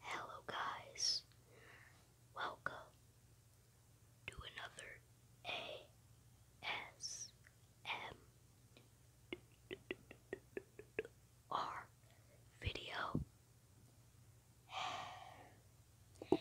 Hello, guys. Welcome to another ASMR video. And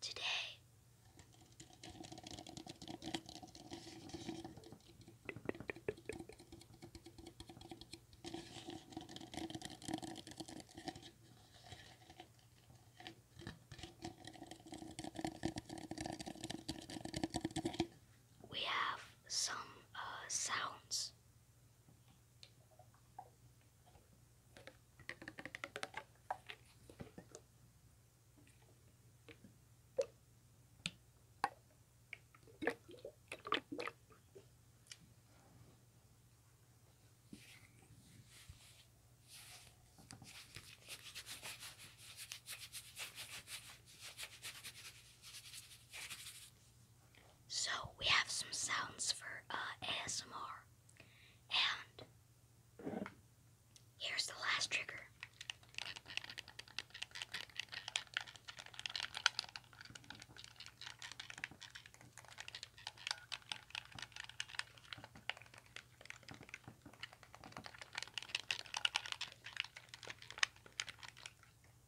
today. We have some uh, sounds. So we have some sounds for uh, ASMR. And here's the last trigger.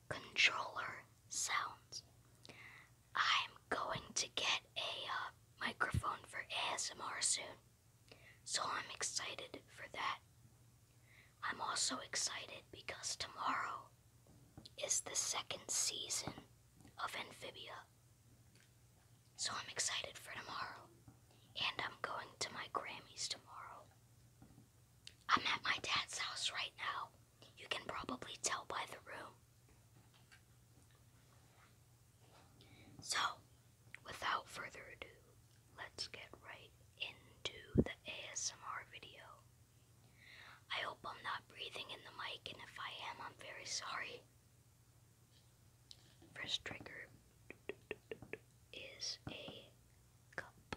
Controller sounds. I'm going to get a uh, microphone for ASMR soon, so I'm excited for that. I'm also excited because tomorrow is the second season of Amphibia. So I'm excited for tomorrow. And I'm going to my Grammys tomorrow. I'm at my dad's house right now. You can probably tell by the room. So, without further ado, let's get right into the ASMR video. I hope I'm not breathing in the mic, and if I am, I'm very sorry. First trigger is a cup.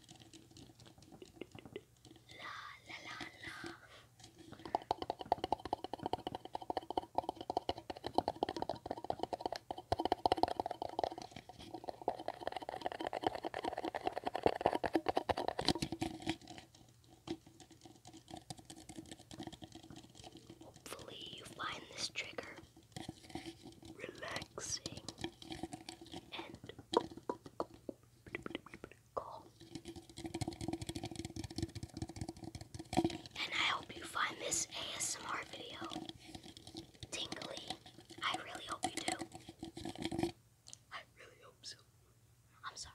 La la la la. Hopefully, you find this trigger relaxing, and calm. And I hope you find this ASMR video tingly. I really hope you do. I really hope so. I'm sorry.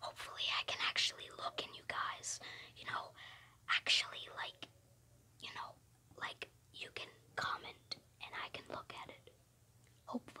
Hopefully, I can actually look in you guys, you know, actually, like, you know, like you can comment and I can look at it. Hopefully.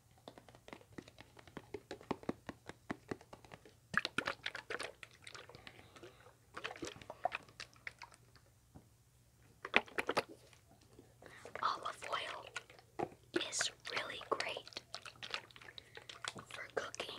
Olive oil is really great for cooking.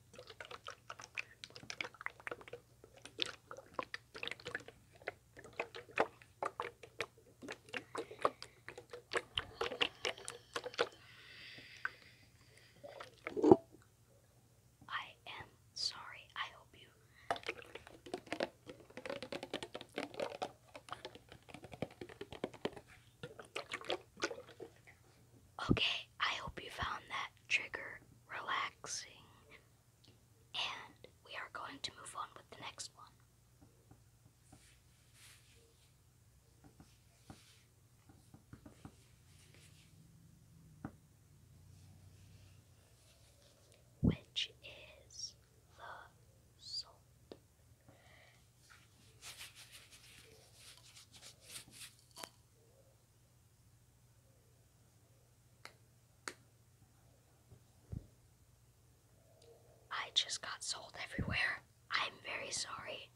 I am sorry. I hope you Okay, I hope you found that trigger relaxing. And we are going to move on with the next one. Which is the salt. I just got sold everywhere. I'm very sorry.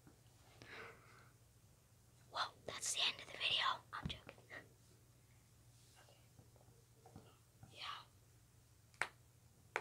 Well, that's the end of the video. I'm joking. Yeah.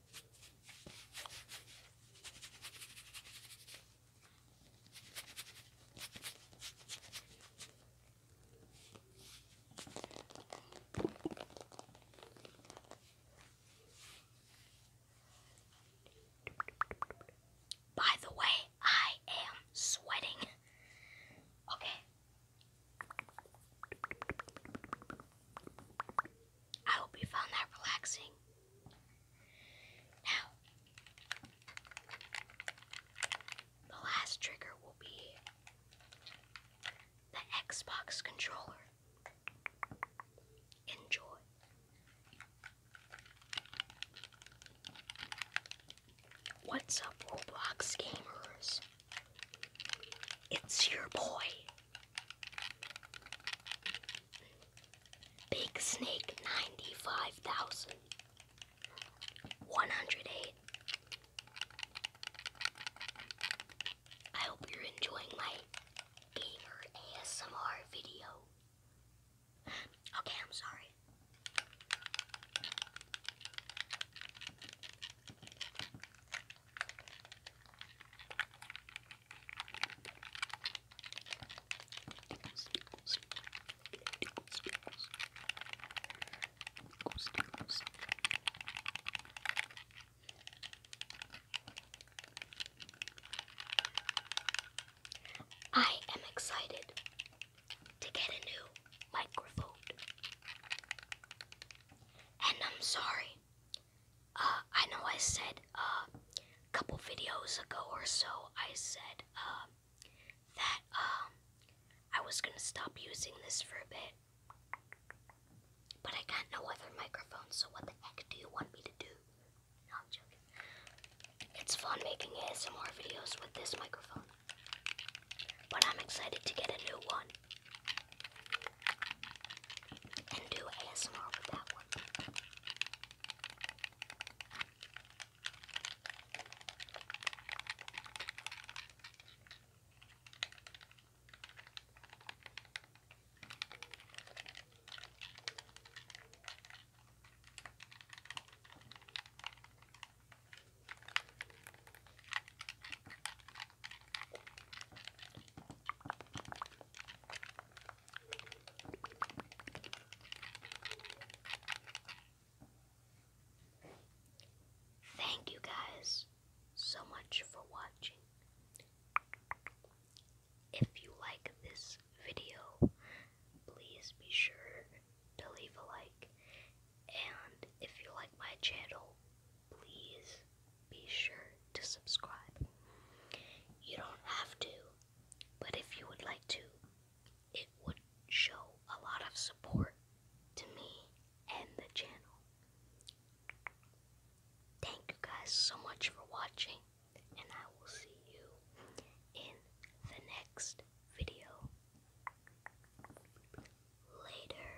By the way, I am sweating. Okay. I hope you found that relaxing. Now, the last trigger will be the Xbox controller. Enjoy. What's up, Roblox gamers? It's your boy. Big Snake 95,000. 108. I hope you're enjoying my gamer ASMR video. Okay, I'm sorry. I am excited to get a new microphone. And I'm sorry uh, I know I said a uh, couple videos ago or so, I said um, that um, I was gonna stop using this for a bit, but I got no other microphone, so what the heck do you want me to do? No, joking. It's fun making ASMR videos with this microphone, but I'm excited to get a new one and do ASMR with that one. Thank you guys so much for watching. If you like this video, please be sure to leave a like. And if you like my channel, please be sure to subscribe. You don't have to, but if you would like to, it would show a lot of support to me and the channel. Thank you guys so much for watching, and I will see you in the next video. Later.